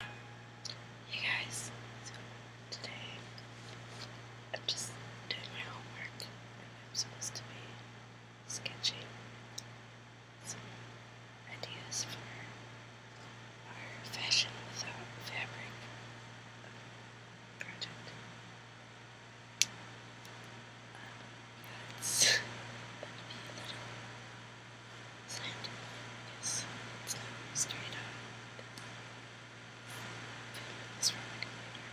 Hey guys, so today I'm just doing my homework I'm supposed to be sketching some ideas for our Fashion Without Fabric project. Um, yeah, be a scientific focus. It's straight up this from my computer.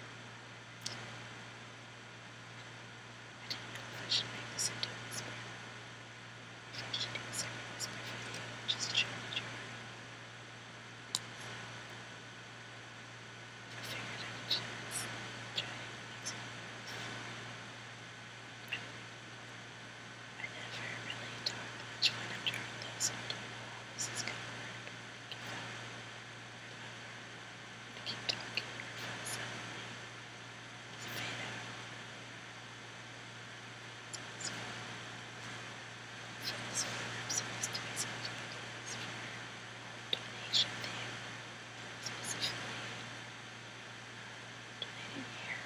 I didn't know if I should make this into a whisper. If I should do a second I figured it next I never really talked much when i this. this is going to work. keep talking or if I'll suddenly fade out. So, for this one, to be something like this for donation thing, specifically. Um, donating here.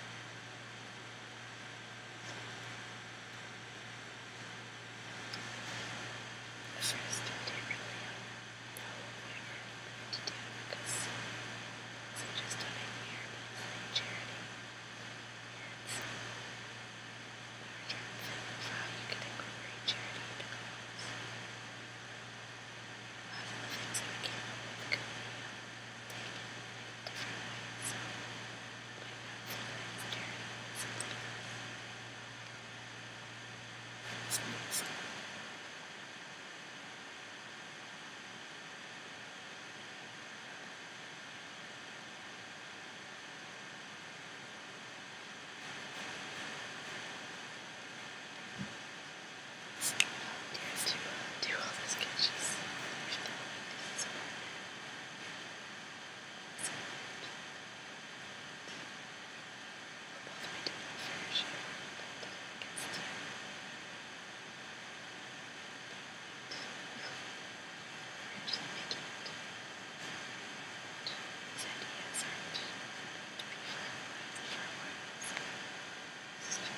first day really I don't know to do because so just donating here means like charity. And so we're trying to think of how you can incorporate charity into clothes. One of the things I came up with could be um, different ways, so I might not consider something that's next. I dare to uh, do all those sketches. So, so, we'll both be doing it for sure. We're actually making it. These ideas aren't to be firm words, firm words. It's just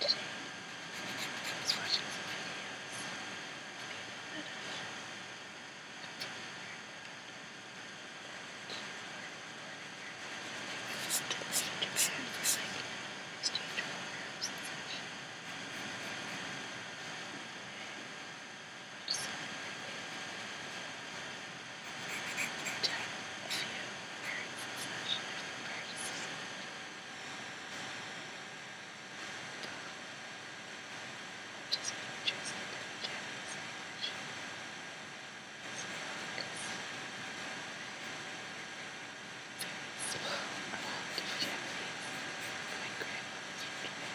Today, I was watching some videos made fun of contemporary service like exchange programs and such. But something like that. Type a few words and such different practices. But just pictures of them Japanese language. Very slow amount of Japanese. My grandmother's from Japan.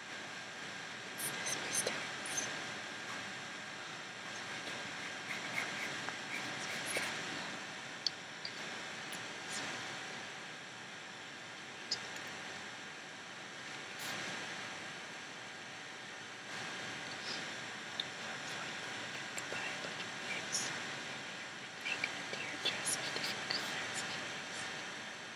This is my stance. Make a deer dress of different colors, please.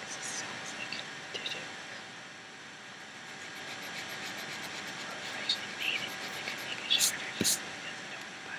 This is so like to do. I actually made it. I could make it shorter. Just no one buy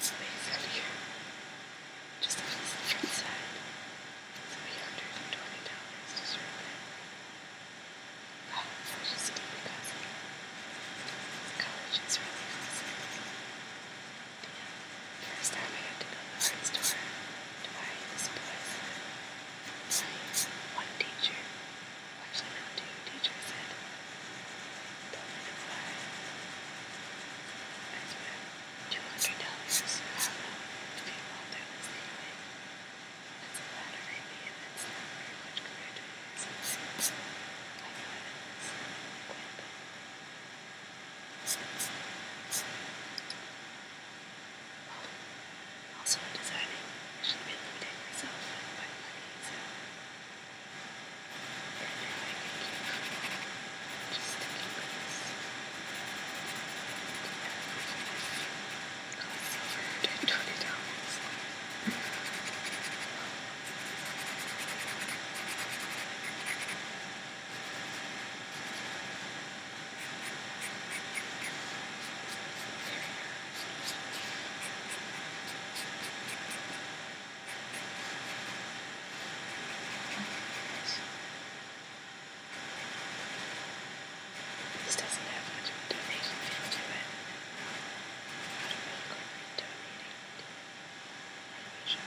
space up here. Just the front side. It's $320 to serve that. Wow, it's just deep because college is really awesome. First time I had to go to the art store to buy this poison science, one teacher, actually no two teachers said, don't let it fly. I swear, two hundred dollars. I don't know if people out there listening to it. That's a lot of baby and that's not very much compared to yours. I know it is quite bad. Also, in designing, I should have been limiting myself by money, so I can keep just sticking with this. Costs over $120. This doesn't have much of a donation feel to it. How do we incorporate donating? Renovation.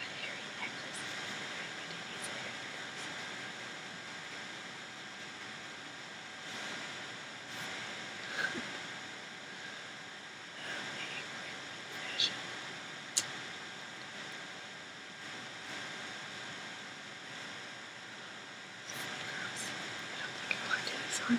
A hairy necklace is fragmented into hair pills. okay, fashion. So, girls, I don't think I want to do this one.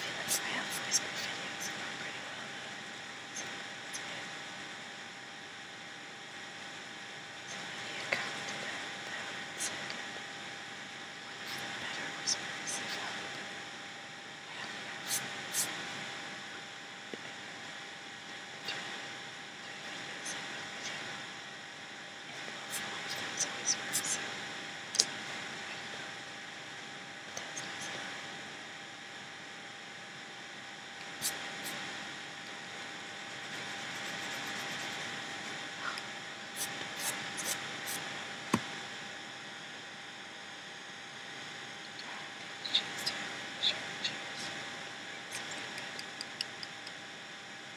Felix Lamb's Facebook videos are going pretty well though. So that's good. Somebody had commented on that one and said one of the better whispers I found. I haven't had since three, three videos I've done with him. That's always worth uh, so that's nice enough. Cheers to sure, cheers. Something good.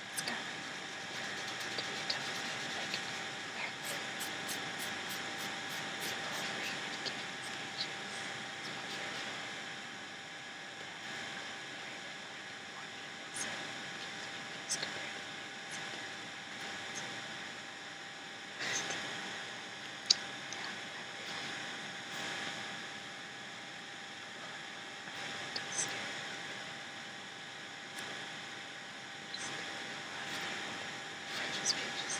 It's got to be tough like hurts. People overheated giving speeches. It's more fearful than more so it's compared to yeah, I really like it. Well, I really don't scare Pages, pages.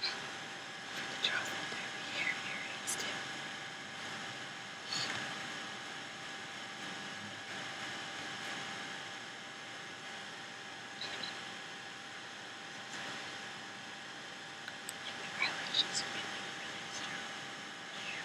For the jaw folder, we have earrings too. And the eyelashes are really, really strong. Yeah.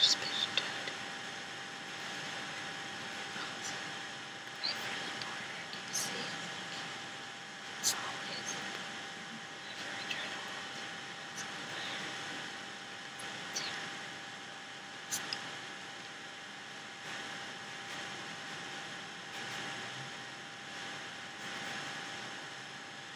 She's pitch dead. But I really want her. Can you see it? It's always whenever I try to hold it's on fire. It's terrible. It's I